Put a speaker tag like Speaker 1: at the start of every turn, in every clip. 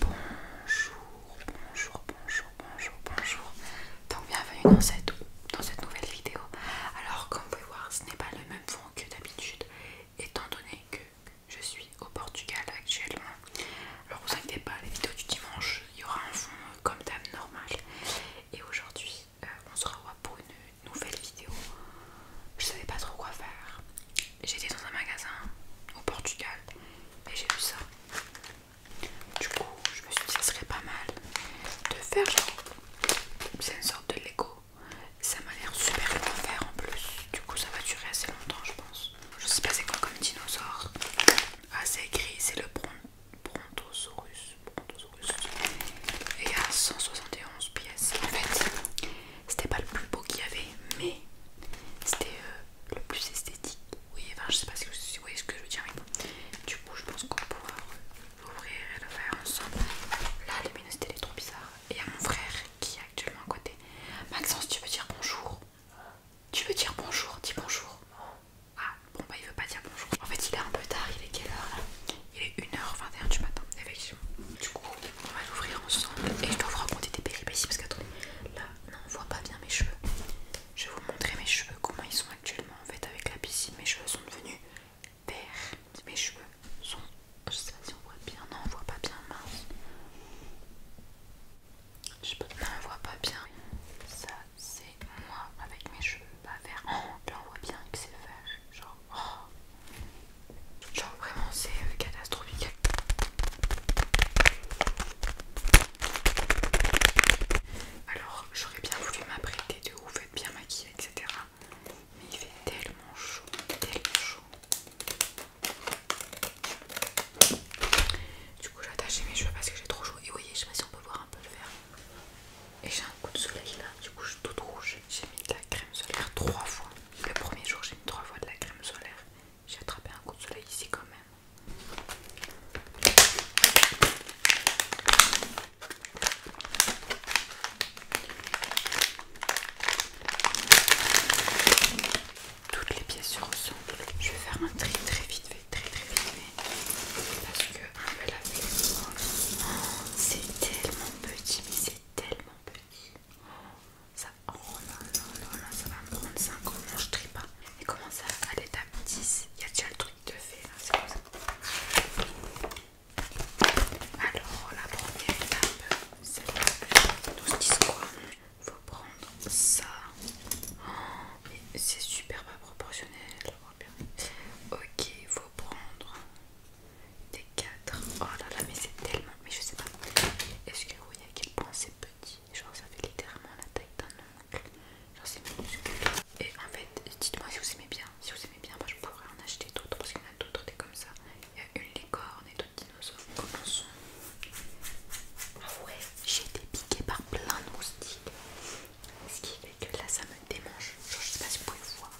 Speaker 1: Bonjour, bonjour, bonjour, bonjour, bonjour. Donc bienvenue dans cette, dans cette nouvelle vidéo. Alors comme vous pouvez voir, ce n'est pas le même fond que d'habitude, étant donné que je suis au Portugal actuellement. Alors vous inquiétez pas, les vidéos du dimanche, il y aura un fond euh, comme d'hab normal. Et aujourd'hui, euh, on se revoit pour une nouvelle vidéo. Je savais pas trop quoi faire. J'étais dans un magasin au Portugal et j'ai vu ça. Du coup, je me suis dit, ça serait pas mal de faire genre. C'est une sorte de Lego. Ça m'a l'air super long à faire en plus. Du coup, ça va durer assez longtemps, je pense. Je sais pas c'est quoi comme dinosaure. Ah, c'est c'est le Brontosaurus. Brontosaurus. Et il y a 171 pièces. En fait, c'était pas le plus beau qu'il y avait, mais c'était euh, le plus esthétique. Oui, enfin, je sais pas si vous voyez ce que je veux dire, Du coup, je pense qu'on pourra l'ouvrir euh, et le faire ensemble. Là, la luminosité c'était est trop bizarre. Et à mon frère qui est actuellement à côté. Maxence, tu veux dire bonjour Tu veux dire bonjour Dis bonjour. Ah, bon, bah, il veut pas dire bonjour. En fait, il est un peu tard. Il est quelle heure là Il est 1h21 du matin, Du coup, on va l'ouvrir ensemble et je dois vous raconter des péripéties parce que, attendez, là non on voit pas bien mes cheveux je vais vous montrer mes cheveux comment ils sont actuellement en fait avec la piscine mes cheveux sont devenus verts mes cheveux sont ça si on voit bien non on voit pas bien mince je sais pas non on voit pas bien ça c'est moi avec mes cheveux pas verts oh, là on voit bien que c'est vert genre oh. Genre vraiment c'est euh, catastrophique. Alors j'aurais bien voulu m'apprêter de ouf, faire bien maquiller etc. Mais il fait tellement chaud, chaud. Du coup j'attache mes cheveux parce que j'ai trop chaud. Et vous voyez, je sais pas si on peut voir un peu le vert. Et j'ai un coup de soleil là, du coup je suis toute rouge. J'ai mis de la crème solaire trois fois. Le premier jour j'ai mis trois fois de la crème solaire. J'ai attrapé un coup de soleil ici quand même. Toutes les pièces se ressemblent. Je vais faire un tri très vite fait, très très vite fait. Parce que peu la faire. C'est tellement petit, mais c'est tellement petit. Oh, Oh ça, va me prendre 5 ans, non je trie pas. Et comment ça, à l'étape 10, il y déjà le truc de fait c'est quoi ça. Alors la première étape, c'est 12-10 quoi Faut prendre ça. Oh, mais c'est super pas proportionnel. Ok, faut prendre des 4. Oh là là, mais c'est tellement. Mais je sais pas. Est-ce que vous voyez à quel point c'est petit. Genre, ça fait littéralement la taille d'un oncle Genre, c'est minuscule. Et en fait, dites-moi si vous aimez bien. Si vous aimez bien, moi je pourrais en acheter d'autres parce qu'il y en a d'autres des comme ça. Il y a une licorne et d'autres dinosaures. Commençons. Ah ouais, j'ai été piquée par plein de moustiques. Ce qui fait que là, ça me démange. Genre, je sais pas si vous pouvez voir.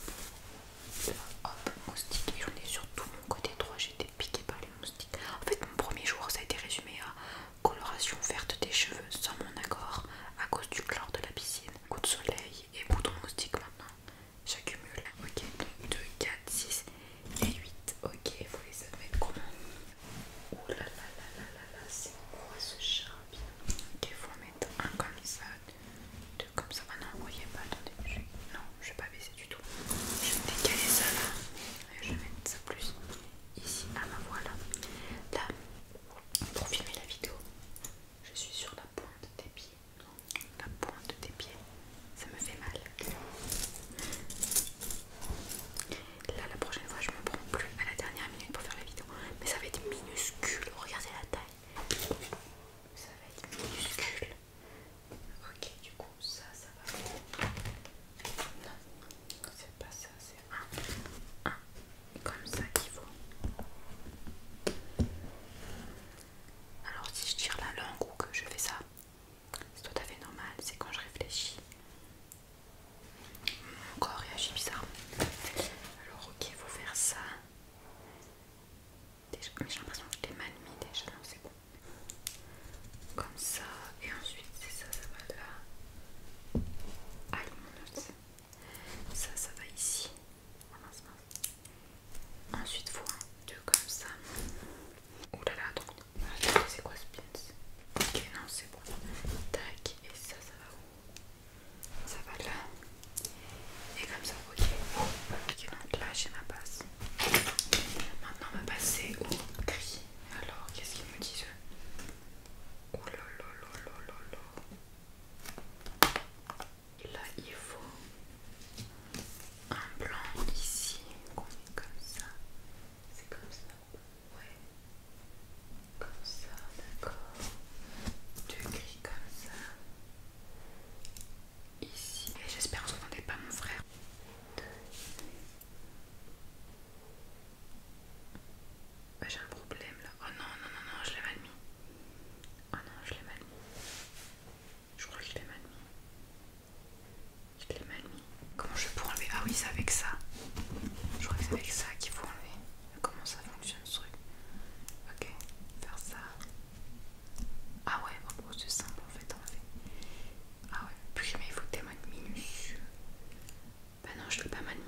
Speaker 1: Euh, hop, moustique. Et j'en ai sur tout mon côté droit piqué par les moustiques. En fait, mon premier jour, ça a été résumé à coloration verte des cheveux sans mon accord à cause du chlore de la piscine. Coup de soleil et bouton moustique maintenant. J'accumule. Ok, donc 2, 4, 6 et 8. Ok, vous les avez comment Oh là là là là là c'est quoi ce chat Ok, faut en mettre un comme ça, deux comme ça. Maintenant, ah non, voyez pas, attendez. Non, je vais pas baisser du tout. Je vais décaler ça là. Je vais mettre ça plus ici. à ma voilà. Là, pour filmer la vidéo, je suis sur la pointe des pieds. La pointe des pieds, ça me fait mal. Là, la prochaine fois, je me prends plus à la dernière minute pour faire la vidéo. Mais ça va être minuscule. Regardez la taille. Ça va être minuscule. Ok, du coup, ça, ça va. Non, c'est pas ça, c'est un. Comme ça qu'il faut. Alors, si je tire la langue ou que je fais ça, c'est tout à fait normal. C'est quand je réfléchis. Mon corps réagit bizarre. Alors, ok, il faut faire ça mais j'ai l'impression que je l'ai mal mis déjà, non c'est bon. Comme ça, et ensuite c'est ça, ça va là. allez mon Ça, ça va ici. Ensuite, faut un, deux comme ça. Oulala, là attends. C'est ah, quoi ce pins Ok, non, c'est bon. Tac, et ça, ça va où Ça va là. Et comme ça, ok. Ok, donc là, j'ai ma base. Maintenant on va passer au gris. Alors qu'est-ce qu'ils me disent eux Oh là là il faut un blanc ici comme ça. C'est comme ça Ouais. Comme ça, d'accord. Deux gris comme ça ici. Et j'espère que vous n'entendez pas mon frère. J'ai un problème là. Oh non, non, non, non, je l'ai mal mis. Oh non, je l'ai mal mis. Je crois que je l'ai mal mis. Je l'ai mal mis. Comment je pour enlever Ah oui, c'est avec ça. Je crois que c'est avec ça qu'il faut enlever. Comment ça fonctionne ce truc Ok, faire ça. Ah ouais, oh c'est simple en fait, en Ah ouais, puis mais il faut tellement de minutieux. Bah non, je l'ai pas mal mis.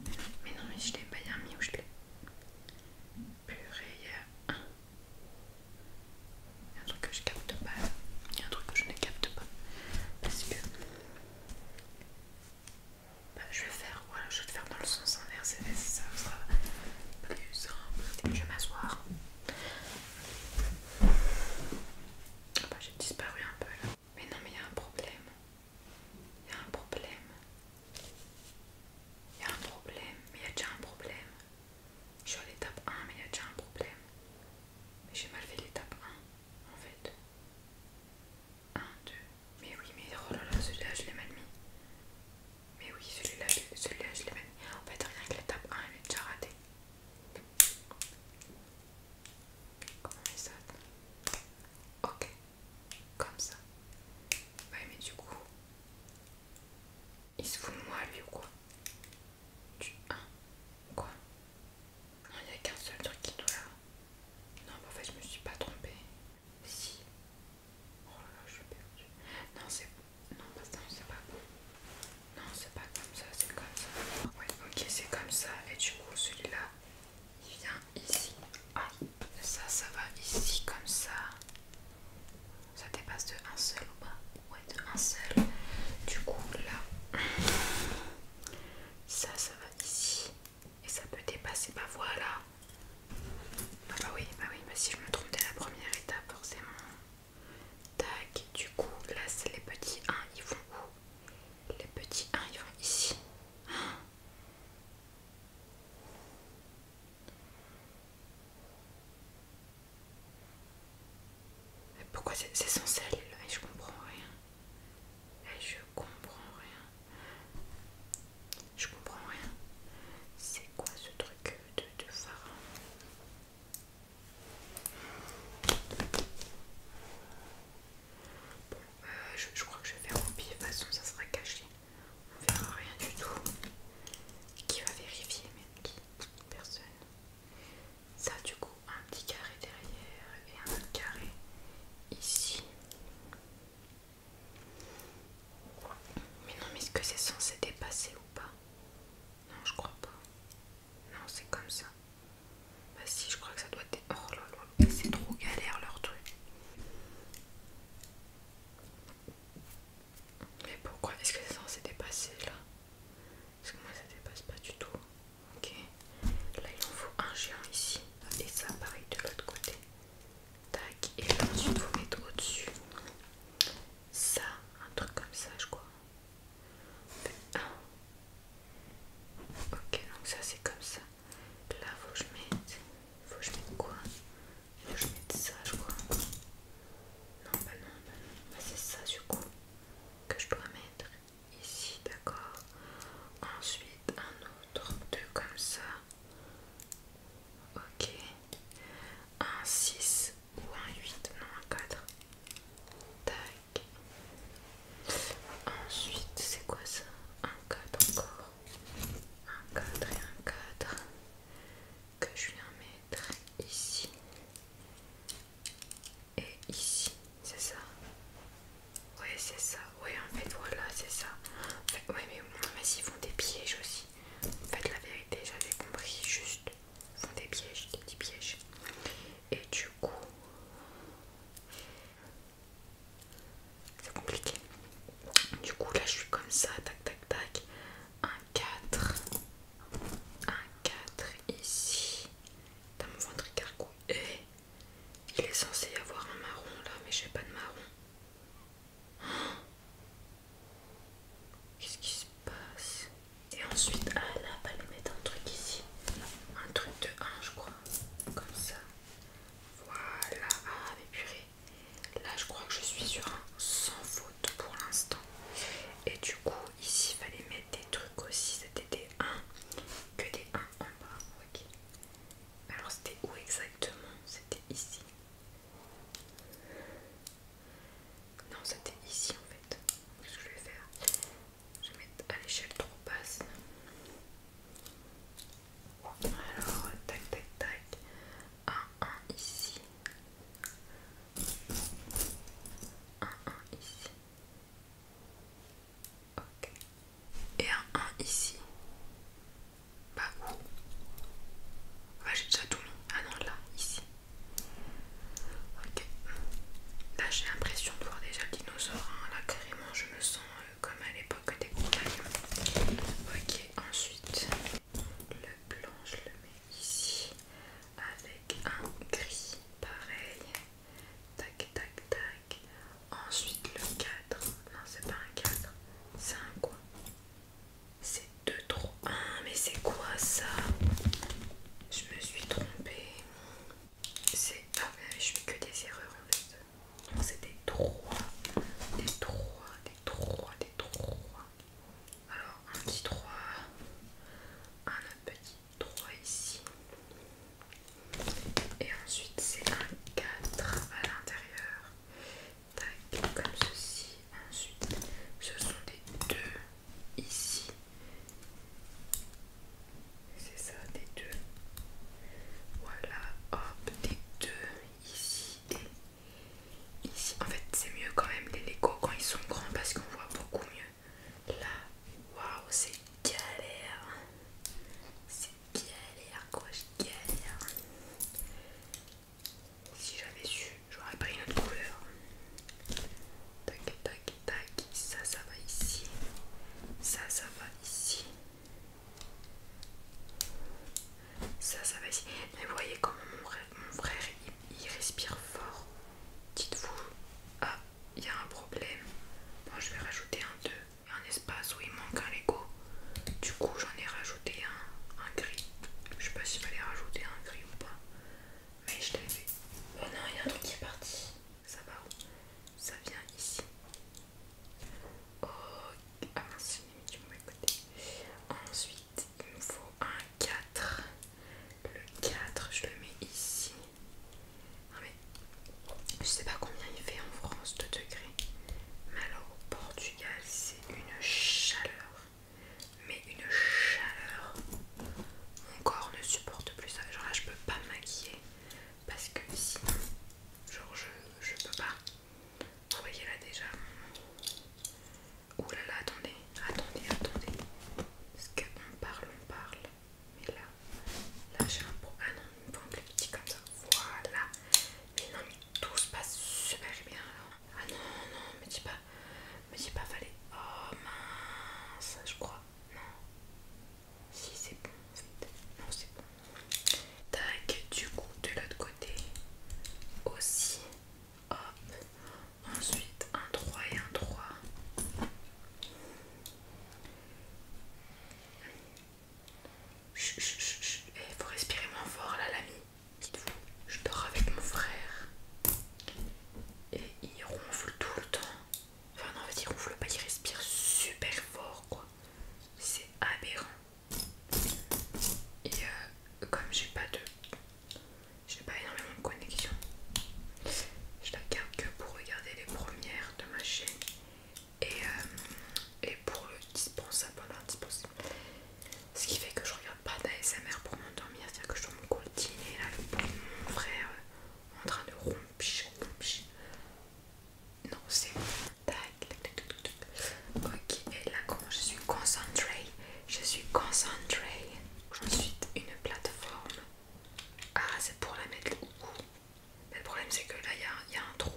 Speaker 1: Mais non, mais, non, mais je l'ai pas bien mis où je l'ai. Purée, il y a un. truc que je capte pas. Il y a un truc que je ne capte pas. Parce que. Bah, je vais faire, voilà, je vais faire dans le sens inverse et ça sera plus simple. Je vais m'asseoir. Ah bah, J'ai disparu un peu là. Mais non, mais il y a un problème. Il y a un problème. Il y a un problème. Mais il y a déjà un problème. Je suis à l'étape 1, mais il y a déjà un problème. Mais j'ai mal fait l'étape 1, en fait. 1, 2. Mais oui, mais oh là là, là je l'ai mal mis. Mais oui, celui-là, celui-là je l'ai même. En fait, rien que table 1, elle est déjà ratée. Comment il s'attend ça Ok, comme ça. Ouais, mais du coup, il se fout de moi lui ou quoi Du 1 Quoi Non, il n'y a qu'un seul truc qui doit là. Non, mais en fait, je me suis pas trompée. Si, Oh là là, je suis perdue. Non, c'est non, c'est pas bon. Non, c'est pas comme ça, c'est comme ça. Ouais, ok, c'est comme ça. Et du coup, celui-là, il vient ici. Ah, ça, ça va ici, comme ça. Ça dépasse de un seul ou pas Ouais, de un seul. Du coup, là, ça, ça va ici. Et ça peut dépasser. Bah voilà, bah, bah oui, bah oui, mais si je me trompe dès la première étape, forcément. Tac, du coup, là c'est les petits 1, ils vont où Les petits 1, ils vont ici. pourquoi c'est sans eh, Je comprends rien. Eh, je comprends rien. Je comprends rien. C'est quoi ce truc de, euh, je, crois que je vais faire au de toute façon ça sera caché. On verra rien du tout. Qui va vérifier même qui Personne. Ça du coup un petit carré derrière et un autre carré ici. Mais non, mais est-ce que c'est censé dépasser ou pas Non, je crois pas. Non, c'est comme ça. Bah si, je crois que ça doit être... Oh là là, c'est trop galère leur truc. Mais pourquoi est-ce que c'est censé dépasser là Parce que moi ça dépasse pas du tout. Ok. Là il en faut un géant ici. Et ça pareil de l'autre côté. Tac, et ensuite vous mettez au-dessus ça, un truc comme ça, je crois. Ok, donc ça c'est comme ça. Là, faut que je mette. Faut que je mette quoi Faut que je mette ça, je crois. Non, bah non, bah, bah c'est ça, du coup, que je dois mettre ici, d'accord Ensuite, un autre, deux comme ça. Ok. Un 6 ou un 8, non un 4. Tac. Ensuite, c'est quoi ça Un 4 encore. Un 4 et un 4. Que je viens mettre ici. Et ici, c'est ça Ouais, c'est ça. Ouais, en fait, voilà, c'est ça. ouais, mais, mais font des pièges aussi faites la vérité, j'avais compris juste font des pièges, des petits pièges. Et du coup, c'est compliqué. Du coup, là, je suis comme ça, tac, tac, tac. Un 4, un 4 ici, dans mon ventre Et eh, il est censé y avoir un marron là, mais j'ai pas de marron. Qu'est-ce qui se passe Et ensuite, ah là, va les mettre un truc ici. Un truc de 1, je crois. Comme ça. Voilà. Ah, mais purée. Là, je crois que je suis sur un sans faute pour l'instant. Et du coup, ici, il fallait mettre des trucs aussi. C'était des 1. Que des 1 en bas. Ok. Alors, c'était où exactement C'était ici. Non, c'était ici en fait. quest ce que je vais faire, je vais mettre à l'échelle trop basse. Alors, tac, tac, tac. Un 1 ici. Un 1 ici. Ok. Et un 1 ici. Bah où Ah j'ai déjà tout mis. Ah non là, ici. Ok. Là j'ai l'impression de voir déjà le dinosaure. Hein. Là carrément je me sens euh, comme à l'époque des compagnons. Ok, ensuite le blanc je le mets ici avec un gris pareil. Tac tac tac. Ensuite le 4. Non c'est pas un cadre C'est un quoi c'est 2 3 1, mais c'est quoi ça Je me suis trompée. C'est. Ah, mais ben, je fais que des erreurs en fait. c'est des 3, des 3, des 3, des 3. Alors, un petit 3, un petit 3 ici. Et ensuite, c'est un 4 à l'intérieur tac, comme ceci. Ensuite, ce sont des deux ici. C'est ça, des deux. Voilà, hop, des deux ici et ici. En fait, c'est mieux quand même les Legos quand ils sont grands parce qu'on voit beaucoup mieux. Là, waouh, c'est galère. C'est galère quoi, je galère. Si j'avais su, j'aurais pris une autre couleur. Tac, tac, tac. Ça, ça va ici. Ça, ça va ici. Ça, ça va ici. Mais voyez comment mon frère, il, respire fort. Dites-vous, ah, il y a un problème. Bon, je vais rajouter un 2 un espace où il manque un Lego. Du coup, j'en ai rajouté un, un gris. Je sais pas s'il fallait rajouter un gris ou pas, mais je l'ai fait Oh non, il y a un truc qui est parti. Ça va où Ça vient ici. Ok. ah mince, du mauvais côté. Ensuite, il nous faut un 4. Le 4, je le mets ici. Non mais, je sais pas combien il fait en France de degrés, mais alors au Portugal, c'est c'est une chaleur, mais une chaleur. Mon corps ne supporte plus ça. Genre là, je peux pas me maquiller parce que sinon, genre je, je peux pas. Vous voyez là déjà. Ouh là là, attendez, attendez, attendez. Est-ce qu'on parle, on parle. Mais là, là j'ai un pro. Ah non, il me plus petit comme ça. Voilà. Mais non, mais tout se passe super bien. Alors. Ah non, non, me dis pas, me dis pas, fallait. Oh mince, je crois. Non. Si, c'est bon Non, c'est bon. Tac, du coup, de l'autre côté aussi. Hop. Ensuite, un 3 et un 3. Chut, chut, chut, eh, faut respirer moins fort là, l'ami. Dites-vous, je dors avec mon frère et il ronfle tout le temps. Enfin, non, en fait, il ronfle pas, il respire super fort, quoi. C'est aberrant. Et euh, comme j'ai pas de. J'ai pas énormément de connexion, je la garde que pour regarder les premières de ma chaîne et, euh, et pour le dispensable. Ce qui fait que je regarde pas d'ASMR pour m'endormir, c'est-à-dire que je dois me coltiner là, mon frère euh, en train de rompich, rompich. Non, c'est Ok, et là, comment je suis concentrée Je suis concentrée. Ensuite, une plateforme. Ah, c'est pour la mettre où Mais le problème, c'est que là, il y, y a un trou.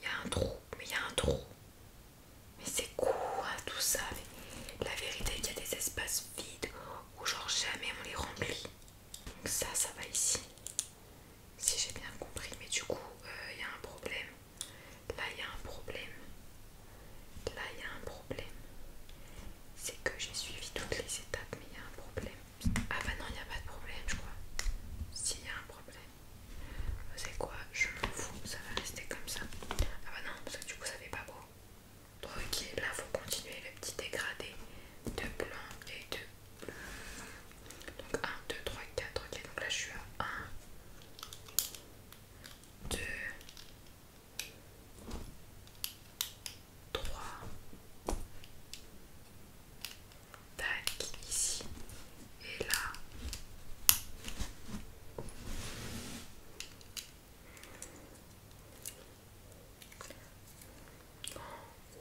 Speaker 1: Il y a un trou, mais il y a un trou. Mais c'est quoi tout ça La vérité qu'il y a des espaces vides où genre jamais on les remplit. Donc ça, ça va ici. Si j'ai bien compris, mais du coup, euh, il y a un problème. Là, il y a un problème. Là, il y a un problème. C'est que j'ai suivi toutes les étapes, mais il y a un problème. Ah bah non, il n'y a pas de problème, je crois. S'il y a un problème. C'est quoi Je m'en fous, ça va rester comme ça. Ah bah non, parce que du coup ça fait pas beau. Ok, là faut continuer le petit dégradé de blanc et de bleu. Donc 1, 2, 3, 4. Ok, donc là je suis à 1, 2, 3, Tac, ici et là.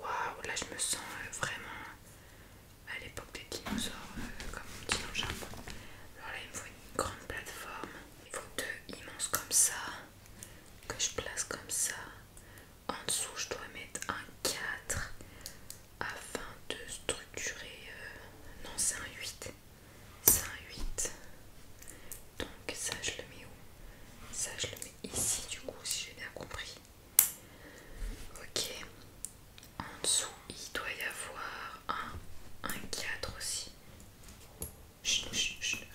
Speaker 1: Waouh, là je me sens euh, vraiment à l'époque des dinosaures, euh, comme on petit dans Alors là, il me faut une grande plateforme. Il me faut deux immenses comme ça, que je place comme ça. En dessous, je dois mettre un 4 afin de structurer. Euh, non, c'est un 8. C'est un 8. Donc, ça, je le mets où Ça, je le mets ici, du coup, si j'ai bien compris. Ok. En dessous, il doit y avoir un, un 4 aussi. je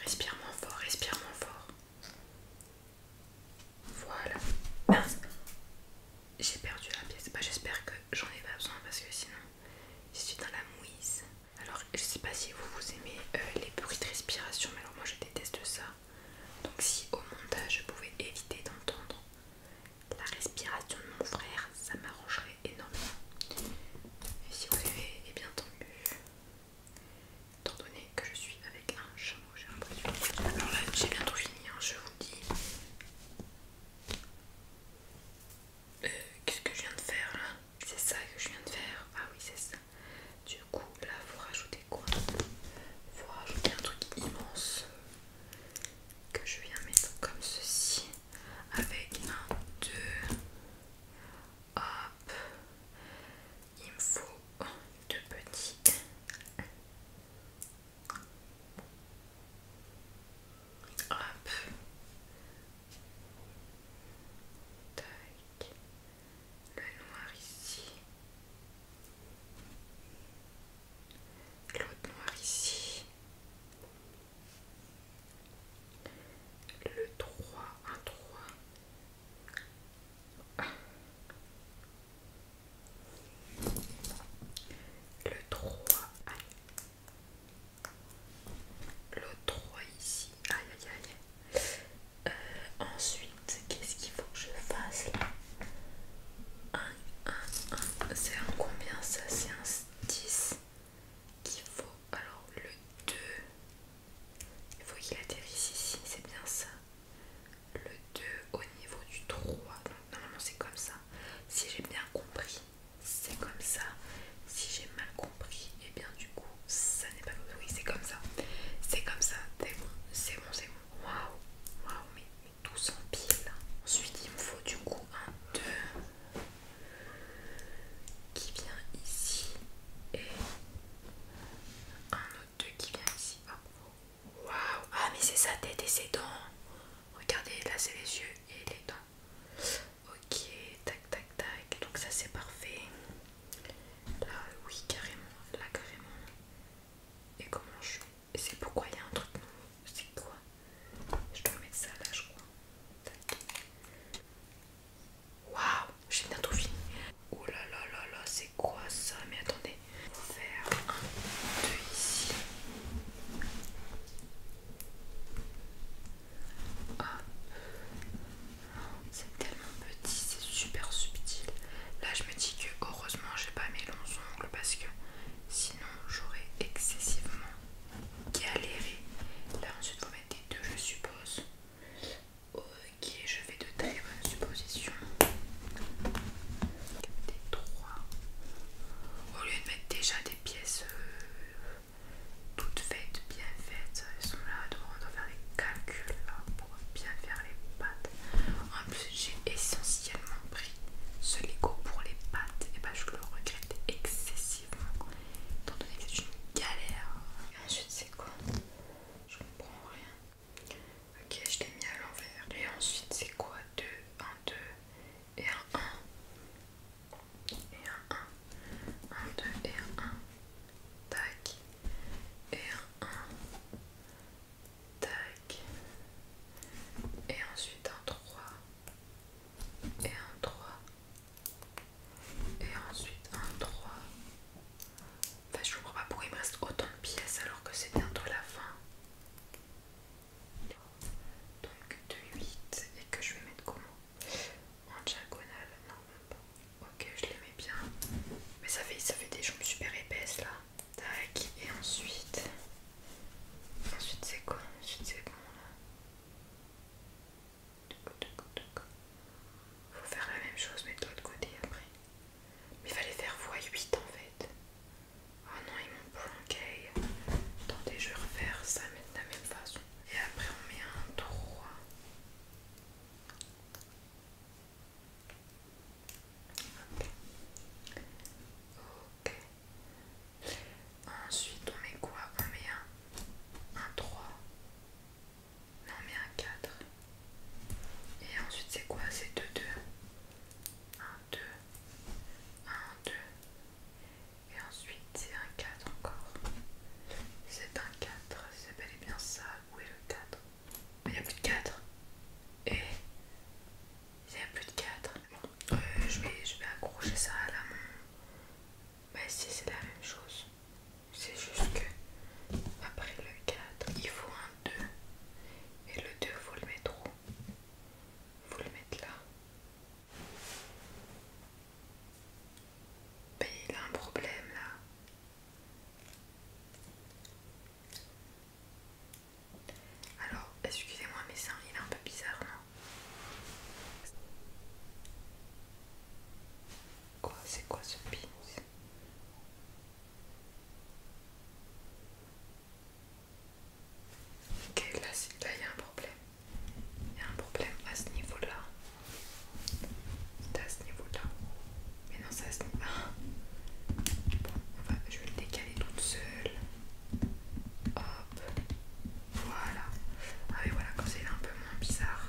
Speaker 1: Respire moins fort, respire moins fort. Voilà j'ai perdu la pièce. pas bah, J'espère que j'en ai pas besoin parce que sinon je suis dans la mouise. Alors je sais pas si vous vous aimez euh, les bruits de respiration, mais alors moi je déteste ça. Donc si au montage je pouvais éviter d'entendre la respiration de mon frère, ça m'arrangerait énormément. Et si vous avez eh bien tant Étant donné que je suis avec un chameau, j'ai l'impression. Alors là, j'ai bientôt fini, hein, je vous dis. Qu'est-ce que je viens de faire là C'est ça que je viens de faire. Ah oui, c'est ça. Du coup, là, faut rajouter quoi Faut rajouter un truc immense que je viens mettre comme ceci. Avec un, deux. Hop. Il me faut deux petites. Hop. Tac. Le noir ici. L'autre noir ici. Le 3, un 3. Le 3, aïe. Le 3 ici, aïe aïe aïe. Euh, ensuite, qu'est-ce qu'il faut que je fasse là 1, 1, 1. C'est un combien ça C'est un 10 qu'il faut. Alors le 2, il faut qu'il atterrisse ici, c'est bien ça le 2 au niveau du 3. Donc normalement c'est comme ça. Si j'ai bien compris, c'est comme ça. Si j'ai mal compris, et eh bien du coup ça n'est pas comme ça. Oui c'est comme ça. C'est comme ça. C'est bon, c'est bon, c'est bon. Waouh, waouh, mais, tout s'empile. Ensuite il me faut du coup un 2 qui vient ici et un autre 2 qui vient ici. Waouh Ah mais c'est sa tête et ses dents Regardez, là c'est les yeux et les dents. Ok, tac tac tac. Donc ça c'est parfait. Là oui carrément, là carrément. Et comment je Et c'est pourquoi il y a un truc nouveau. C'est quoi Je dois mettre ça là je crois. Waouh, j'ai bientôt fini. Oh là là là là, c'est quoi ça Mais attendez, faire C'est tellement petit, c'est super subtil. Là, je me dis que heureusement, j'ai pas mes longs ongles parce que sinon, j'aurais excessivement galéré. Là, ensuite, vous mettez deux, je suppose. Ok, je vais de taille bonnes suppositions. 3. Au lieu de mettre déjà des pièces euh, toutes faites, bien faites, elles sont là, on doit faire des calculs pour bien faire les pattes. En plus, j'ai essentiellement pris ce Lego pour les pattes, et bah je le regrette excessivement, étant donné que c'est une galère. je ensuite, c'est quoi Je comprends rien. Ok, je l'ai mis à l'envers. Et ensuite, c'est quoi 2, 1, 2 et 1. Et 1. 1, 2 et 1. Tac. Et un 1. Tac. Et ensuite un 3. Et un 3. Et ensuite un 3. Enfin, je comprends pas pourquoi il me reste autant de pièces alors que c'est bientôt la fin. Donc 2, 8 et que je vais mettre comment En diagonale Non, même pas. Ok, je les mets bien. Mais ça fait, ça fait des jambes super épaisses là. Tac, et ensuite. Ensuite, c'est quoi Ensuite, c'est bon là. Faut faire la même chose, mais de l'autre côté après. Mais il fallait faire x8 en fait. Oh non, ils m'ont planqué. Attendez, je vais refaire ça de la même façon. Et après, on met un 3. Ok. Ensuite, on met quoi On met un, 3. Non, on met un 4. Et ensuite, c'est quoi C'est 2, 2. 1, 2, 1, 2, et ensuite c'est un 4 encore. C'est un 4, c'est bel et bien ça. Où est le 4 Il n'y a plus de 4. Et il n'y a plus de 4. Euh, je, vais, accrocher ça à la montre. Bah, si c'est la même chose, c'est juste que après le 4, il faut un 2. Et le 2, il faut le mettre où vous le mettre là. Ben, il a un problème là. Alors, excusez-moi, mais ça, il est un peu bizarre, non Quoi C'est quoi ce pin Ok, là il y a un problème. Il y a un problème à ce niveau-là. C'est à ce niveau-là. Mais non, c'est à ce niveau-là. Ah. Bon, on va, je vais le décaler toute seule. Hop. Voilà. Ah mais voilà, quand c'est un peu moins bizarre,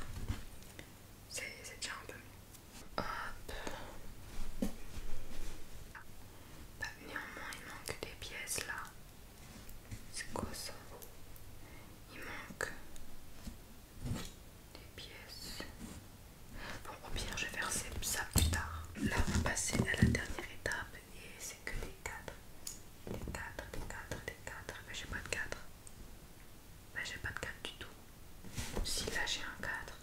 Speaker 1: c'est tient un peu mieux. Hop. Bah, néanmoins, il manque des pièces là. C'est quoi ça Il manque des pièces. Bon, au pire, je vais faire ça plus tard. Là, on va passer à la dernière étape et c'est que des cadres. Des cadres, des cadres, des cadres. Mais bah, j'ai pas de 4 bah, j'ai pas de cadre du tout. Si là, j'ai un cadre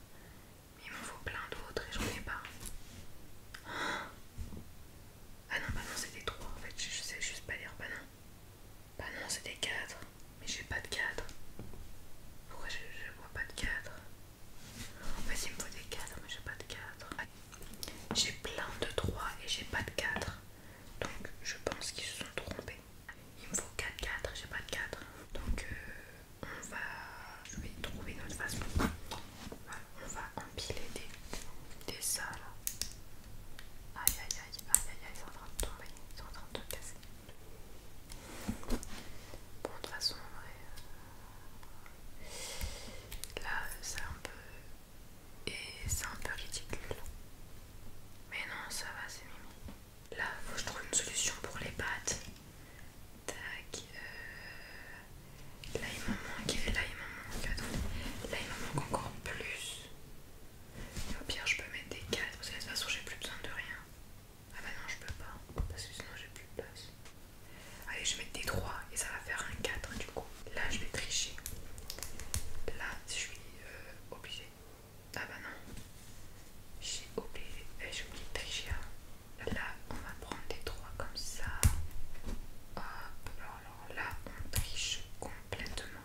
Speaker 1: il m'en faut plein d'autres et j'en ai pas. Ah non, bah non, c'était 3 en fait, je, sais juste pas dire bah non. Bah non, 4, mais j'ai pas de 4. Pourquoi je, vois pas de 4 En fait, il me faut des 4, mais j'ai pas de 4. J'ai plein de 3 et j'ai pas de 4. Donc je pense qu'ils se sont trompés. Il me faut 4-4, j'ai pas de 4. Donc euh, on va, je vais trouver notre façon. on va empiler des, des salles. Aïe aïe aïe aïe aïe aïe, ils sont en train de tomber, ils sont en train de te casser. Bon, de toute façon, vrai, euh, là c'est un peu. Et c'est un peu ridicule. Mais non, ça va, c'est mimi. Là, faut que je trouve une solution pour les pattes. Tac. Euh, là il m'en manque, là il m'en manque. Là il m'en manque encore plus. au pire je peux mettre des 4 parce que de toute façon j'ai plus besoin de rien. Ah bah non je peux pas parce que sinon j'ai plus de place. Allez je vais mettre des 3 et ça va faire un 4 du coup. Là je vais tricher. Là je suis obligé. Euh, obligée. Ah bah non. J'ai oublié. Eh, j'ai oublié de tricher. Hein. Là, on va prendre des trois comme ça. Hop, alors, là, on triche complètement.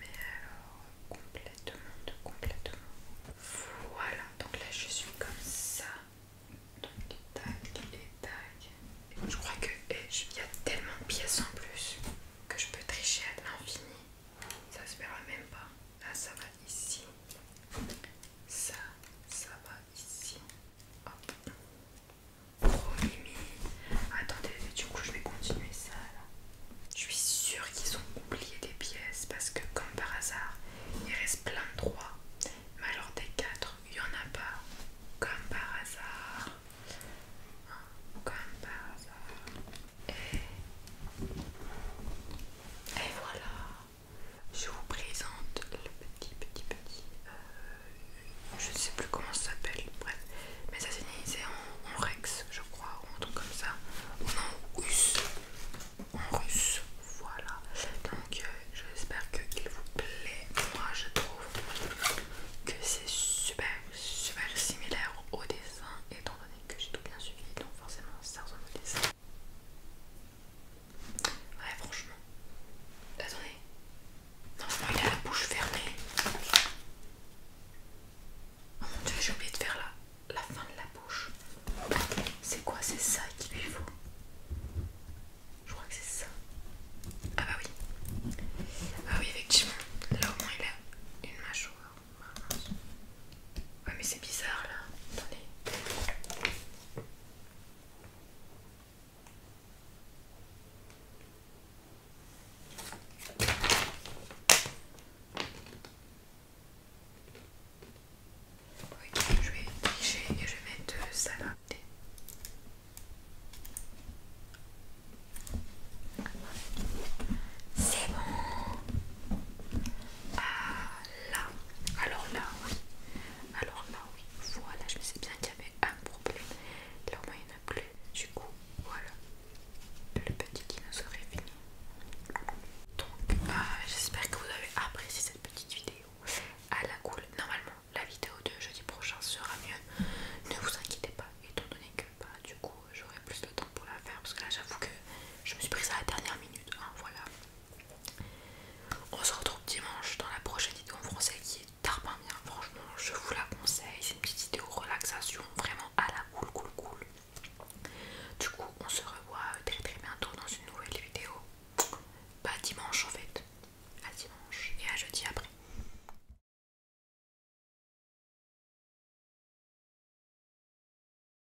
Speaker 1: Mais alors, complètement, de complètement. Voilà, donc là, je suis comme ça. Donc, tac et tac. Je crois que eh, il y a tellement de pièces en plus que je peux tricher à l'infini. Ça se verra même pas. Là, ça va ici ça, ça va ici. Hop. mimi Attendez, du coup je vais continuer ça là. Je suis sûre qu'ils ont oublié des pièces parce que comme par hasard, il reste plein de trois Mais alors des quatre il n'y en a pas. Comme par hasard. Comme par hasard. Et, Et voilà je vous présente le petit petit petit euh, Je ne sais plus comment ça s'appelle bref mais ça c'est en, en rex je crois ou en truc comme ça ou en russe en russe voilà donc euh, j'espère qu'il vous plaît moi je trouve que c'est super super similaire au dessin étant donné que j'ai tout bien suivi donc forcément ça ressemble au dessin Ouais, franchement. Attendez. Non, il a la bouche fermée. Oh mon dieu, j'ai oublié de faire la, la fin de la bouche. C'est quoi C'est ça qu'il lui faut Je crois que c'est ça. Ah bah oui. Ah oui, effectivement. Là au moins il a une mâchoire. Ouais mais c'est bizarre là. Attendez. je vais tricher et je vais mettre euh, ça là. C'est bon. Ah là, alors là oui, alors là oui, voilà, je sais bien qu'il y avait un problème. Là au moins il n'y en a plus. Du coup, voilà, le petit dinosaure est fini. Donc, euh, j'espère que vous avez apprécié cette petite vidéo à la cool. Normalement, la vidéo de jeudi prochain sera mieux. Ne vous inquiétez pas, étant donné que bah, du coup j'aurai plus de temps pour la faire parce que là j'avoue que je me suis prise à la dernière minute. Hein, voilà. On se retrouve dimanche dans la prochaine vidéo en français qui est tarpin bien. Franchement, je vous la conseille. C'est une petite vidéo relaxation, vraiment à la cool, cool, cool. Du coup, on se revoit très très bientôt dans une nouvelle vidéo. Pas bah, dimanche en fait. À dimanche et à jeudi après.